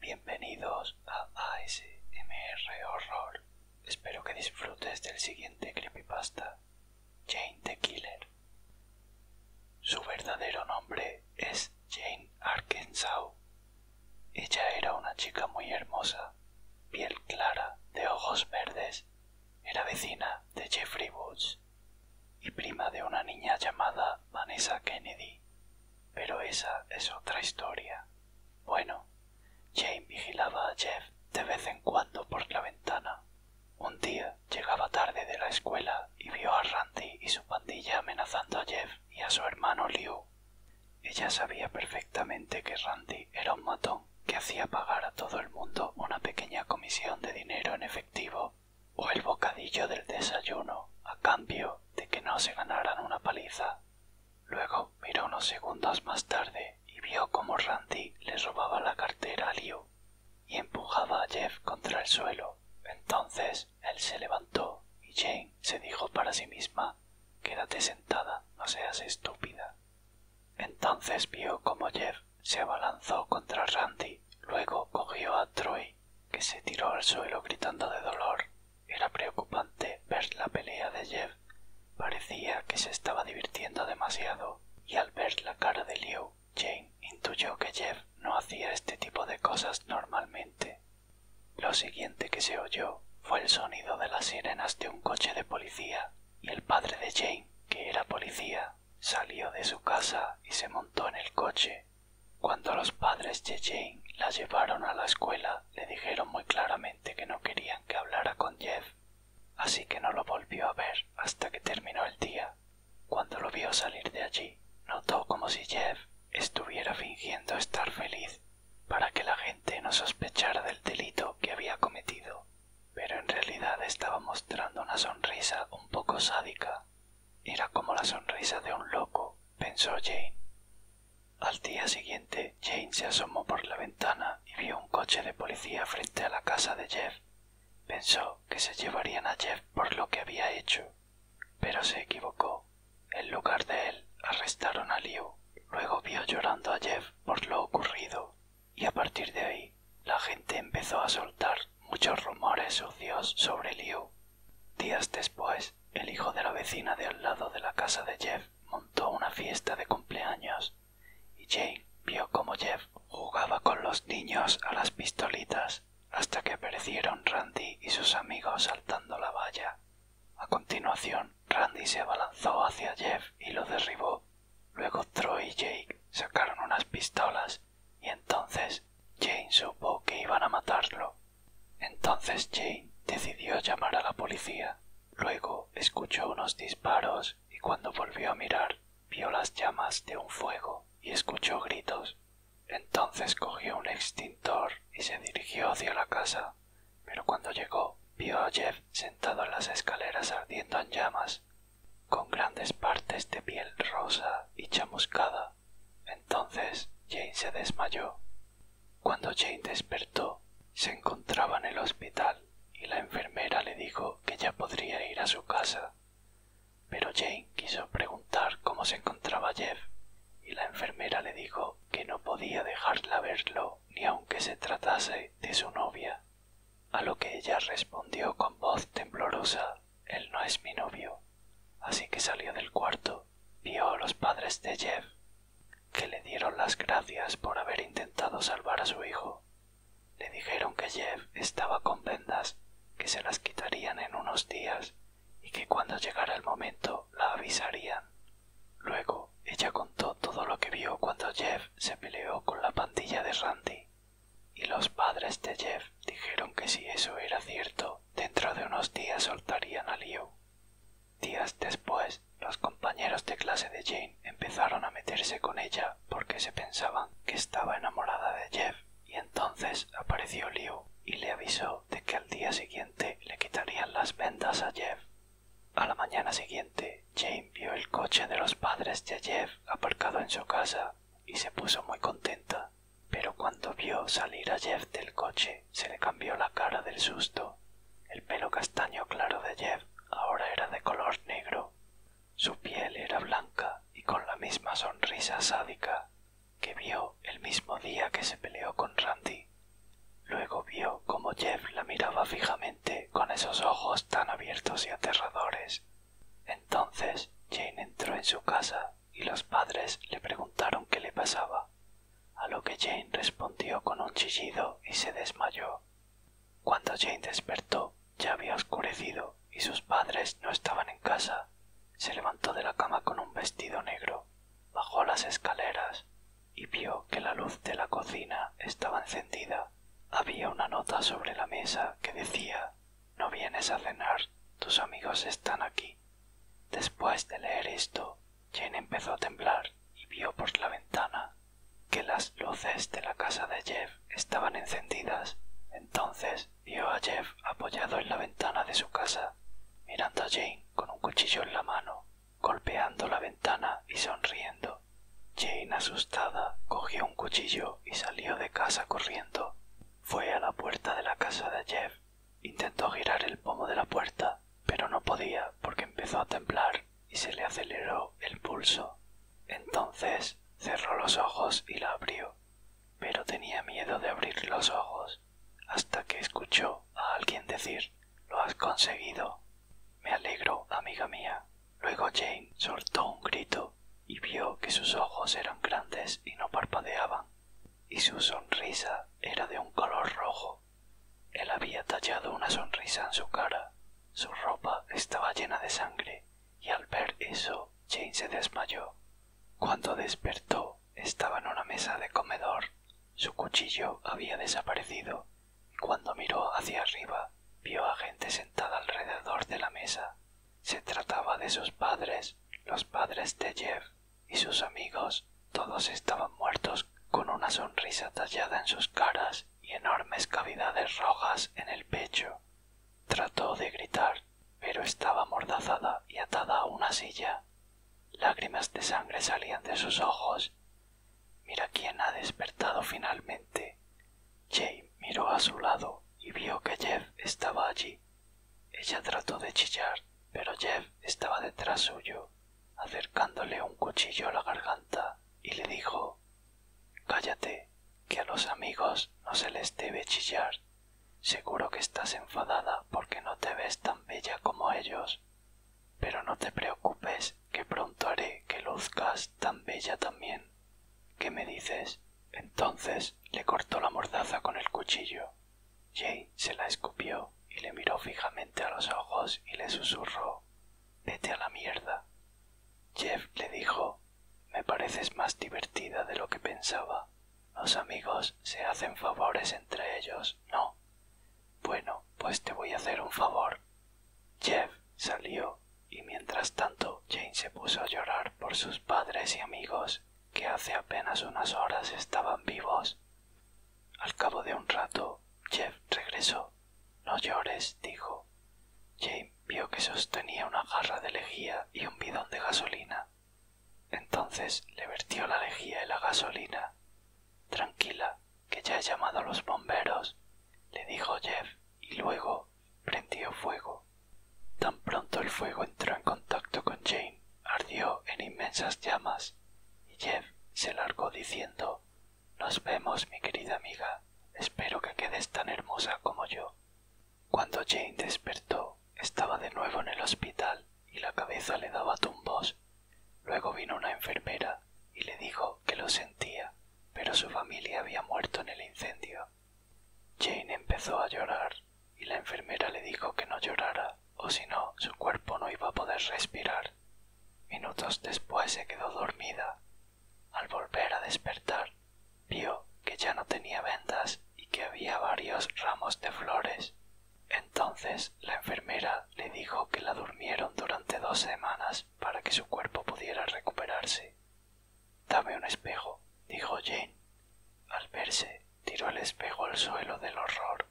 Bienvenidos a ASMR Horror. Espero que disfrutes del siguiente creepypasta, Jane the Killer. Su verdadero nombre es Jane Arkansas. Ella era una chica muy hermosa, piel clara, de ojos verdes era vecina de Jeffrey Woods y prima de una niña llamada Vanessa Kennedy. Pero esa es otra historia. Bueno, Jane vigilaba a Jeff de vez en cuando por la ventana. Un día llegaba tarde de la escuela y vio a Randy y su pandilla amenazando a Jeff y a su hermano Liu. Ella sabía perfectamente que Randy era un matón que hacía pagar a todo el mundo una pequeña comisión de dinero en efectivo o el bocadillo del desayuno a cambio de que no se ganaran una paliza. Luego miró unos segundos más tarde y vio cómo Randy le robaba la cartera a Leo y empujaba a Jeff contra el suelo. Entonces él se levantó y Jane se dijo para sí misma Quédate sentada, no seas estúpida. Entonces vio cómo Jeff se abalanzó contra Randy, luego cogió a Troy, que se tiró al suelo gritando de dolor. Era preocupante ver la pelea de Jeff. Parecía que se estaba divirtiendo demasiado, y al ver la cara de Liu, Jane intuyó que Jeff no hacía este tipo de cosas normalmente. Lo siguiente que se oyó fue el sonido de las sirenas de un coche de policía y el padre de Jane, que era policía, salió de su casa y se montó en el coche. Cuando los padres de Jane la llevaron a la escuela, le dijeron muy claramente que no querían que hablara con Jeff, así que no lo volvió a ver hasta que terminó el día. Cuando lo vio salir de allí, notó como si Jeff estuviera fingiendo estar feliz para que la gente no sospechara del delito que había cometido pero en realidad estaba mostrando una sonrisa un poco sádica. Era como la sonrisa de un loco, pensó Jane. Al día siguiente, Jane se asomó por la ventana y vio un coche de policía frente a la casa de Jeff. Pensó que se llevarían a Jeff por lo que había hecho, pero se equivocó. En lugar de él, arrestaron a Liu. Luego vio llorando a Jeff por lo ocurrido y a partir de ahí la gente empezó a soltar muchos rumores sucios sobre Liu. Días después, el hijo de la vecina de al lado de la casa de Jeff montó una fiesta de cumpleaños y Jane vio cómo Jeff jugaba con los niños a las pistolitas hasta que aparecieron Randy y sus amigos saltando la valla. A continuación, Randy se abalanzó hacia Jeff y lo derribó Luego Troy y Jake sacaron unas pistolas y entonces Jane supo que iban a matarlo. Entonces Jane decidió llamar a la policía. Luego escuchó unos disparos y cuando volvió a mirar vio las llamas de un fuego y escuchó gritos. Entonces cogió un extintor y se dirigió hacia la casa, pero cuando llegó vio a Jeff sentado en las escaleras ardiendo en llamas con grandes partes de piel rosa y chamuscada. Entonces Jane se desmayó. Cuando Jane despertó, se encontraba en el hospital y la enfermera le dijo que ya podría ir a su casa. Pero Jane quiso preguntar cómo se encontraba Jeff y la enfermera le dijo que no podía dejarla verlo ni aunque se tratase de su novia a lo que ella respondió con voz temblorosa Él no es mi novio. Así que salió del cuarto, vio a los padres de Jeff, que le dieron las gracias por haber intentado salvar a su hijo. Le dijeron que Jeff estaba con vendas, que se las quitarían en unos días y que cuando llegara el momento la avisarían. Luego ella contó todo lo que vio cuando Jeff se peleó con la pandilla de Randy y los padres de Jeff dijeron que si eso era cierto, dentro de unos días soltarían a Leo Días después, los compañeros de clase de Jane empezaron a meterse con ella porque se pensaban que estaba enamorada de Jeff, y entonces apareció Leo y le avisó de que al día siguiente le quitarían las vendas a Jeff. A la mañana siguiente, Jane vio el coche de los padres de Jeff aparcado en su casa y se puso muy contenta, pero cuando vio salir a Jeff del coche se le cambió la cara del susto. El pelo castaño claro de Jeff ahora era de color negro. Su piel era blanca y con la misma sonrisa sádica que vio el mismo día que se peleó con Randy. Luego vio cómo Jeff la miraba fijamente con esos ojos tan abiertos y aterradores. Entonces Jane entró en su casa y los padres le preguntaron qué le pasaba, a lo que Jane respondió con un chillido y se desmayó. Cuando Jane despertó, ya había oscurecido y sus padres no estaban en casa. Se levantó de la cama con un vestido negro, bajó las escaleras y vio que la luz de la cocina estaba encendida había una nota sobre la mesa que decía No vienes a cenar, tus amigos están aquí. Después de leer esto, Jane empezó a temblar y vio por la ventana que las luces de la casa de Jeff estaban encendidas. Entonces vio a Jeff apoyado en la ventana de su casa, mirando a Jane con un cuchillo en la mano, golpeando la ventana y sonriendo. Jane, asustada, cogió un cuchillo y salió de casa corriendo. Fue a la puerta de la casa de Jeff. Intentó girar el pomo de la puerta, pero no podía porque empezó a temblar y se le aceleró el pulso. Entonces cerró los ojos y la abrió, pero tenía miedo de abrir los ojos hasta que escuchó a alguien decir Lo has conseguido. Me alegro, amiga mía. Luego Jane soltó un grito y vio que sus ojos eran grandes y no parpadeaban, y su sonrisa era de un color rojo. Él había tallado una sonrisa en su cara. Su ropa estaba llena de sangre, y al ver eso, Jane se desmayó. Cuando despertó, estaba en una mesa de comedor. Su cuchillo había desaparecido cuando miró hacia arriba vio a gente sentada alrededor de la mesa. Se trataba de sus padres, los padres de Jeff y sus amigos. Todos estaban muertos con una sonrisa tallada en sus caras y enormes cavidades rojas en el pecho. Trató de gritar, pero estaba amordazada y atada a una silla. Lágrimas de sangre salían de sus ojos. Mira quién ha despertado finalmente, Jay miró a su lado y vio que Jeff estaba allí. Ella trató de chillar, pero Jeff estaba detrás suyo, acercándole un cuchillo a la garganta y le dijo Cállate, que a los amigos no se les debe chillar. Seguro que estás enfadada porque no te ves tan bella como ellos. Pero no te preocupes, que pronto haré que luzcas tan bella también. ¿Qué me dices? Entonces le cortó la mordaza con el cuchillo. Jay se la escupió y le miró fijamente a los ojos y le susurró Vete a la mierda. Jeff le dijo Me pareces más divertida de lo que pensaba. Los amigos se hacen favores entre ellos, ¿no? Bueno, pues te voy a hacer un favor. Jeff salió y mientras tanto Jane se puso a llorar por sus padres y amigos que hace apenas unas horas estaban vivos. Al cabo de un rato, Jeff regresó. No llores, dijo. Jane vio que sostenía una jarra de lejía y un bidón de gasolina. Entonces le vertió la lejía y la gasolina. Tranquila, que ya he llamado a los bomberos, le dijo Jeff, y luego prendió fuego. Tan pronto el fuego entró en contacto con Jane, ardió en inmensas llamas, y Jeff se largó diciendo Nos vemos, mi querida amiga. Espero que quedes tan hermosa como yo. Cuando Jane despertó, estaba de nuevo en el hospital y la cabeza le daba tumbos. Luego vino una enfermera y le dijo que lo sentía pero su familia había muerto en el incendio. Jane empezó a llorar y la enfermera le dijo que no llorara, o si no, su cuerpo no iba a poder respirar. Minutos después se quedó dormida. Al volver a despertar, vio que ya no tenía vendas y que había varios ramos de flores. Entonces la enfermera le dijo que la durmieron durante dos semanas para que su cuerpo pudiera recuperarse. Dame un espejo, dijo Jane. Al verse, tiró el espejo al suelo del horror.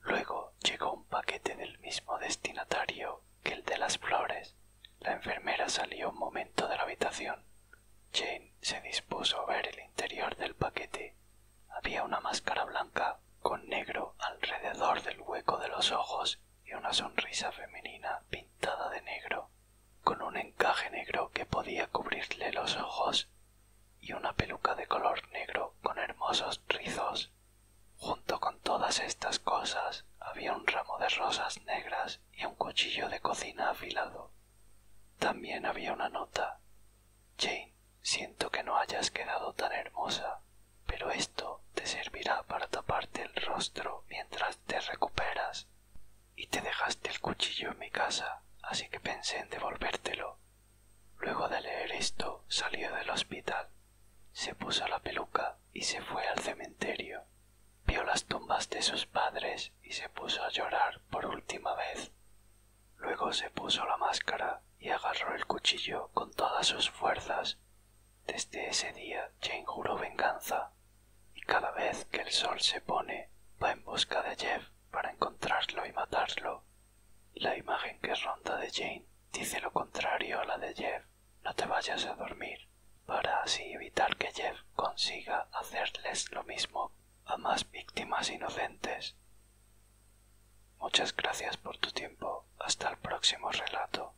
Luego llegó un paquete del mismo destinatario que el de las flores. La enfermera salió un momento de la habitación. Jane se dispuso a ver el interior del paquete. Había una máscara blanca con negro alrededor del hueco de los ojos y una sonrisa femenina pintada de negro con un encaje negro que podía cubrirle los ojos y una peluca de color negro con hermosos rizos. Junto con todas estas cosas había un ramo de rosas negras y un cuchillo de cocina afilado. También había una nota. Jane, siento que no hayas quedado tan hermosa, pero esto te servirá para taparte el rostro mientras te recuperas y te dejaste el cuchillo en mi casa, así que pensé en devolvértelo. Luego de leer esto, salió del hospital, se puso la peluca y se fue al cementerio. Vio las tumbas de sus padres y se puso a llorar por última vez. Luego se puso la máscara y agarró el cuchillo con todas sus fuerzas desde ese día Jane juró venganza, y cada vez que el sol se pone va en busca de Jeff para encontrarlo y matarlo. La imagen que ronda de Jane dice lo contrario a la de Jeff. No te vayas a dormir, para así evitar que Jeff consiga hacerles lo mismo a más víctimas inocentes. Muchas gracias por tu tiempo. Hasta el próximo relato.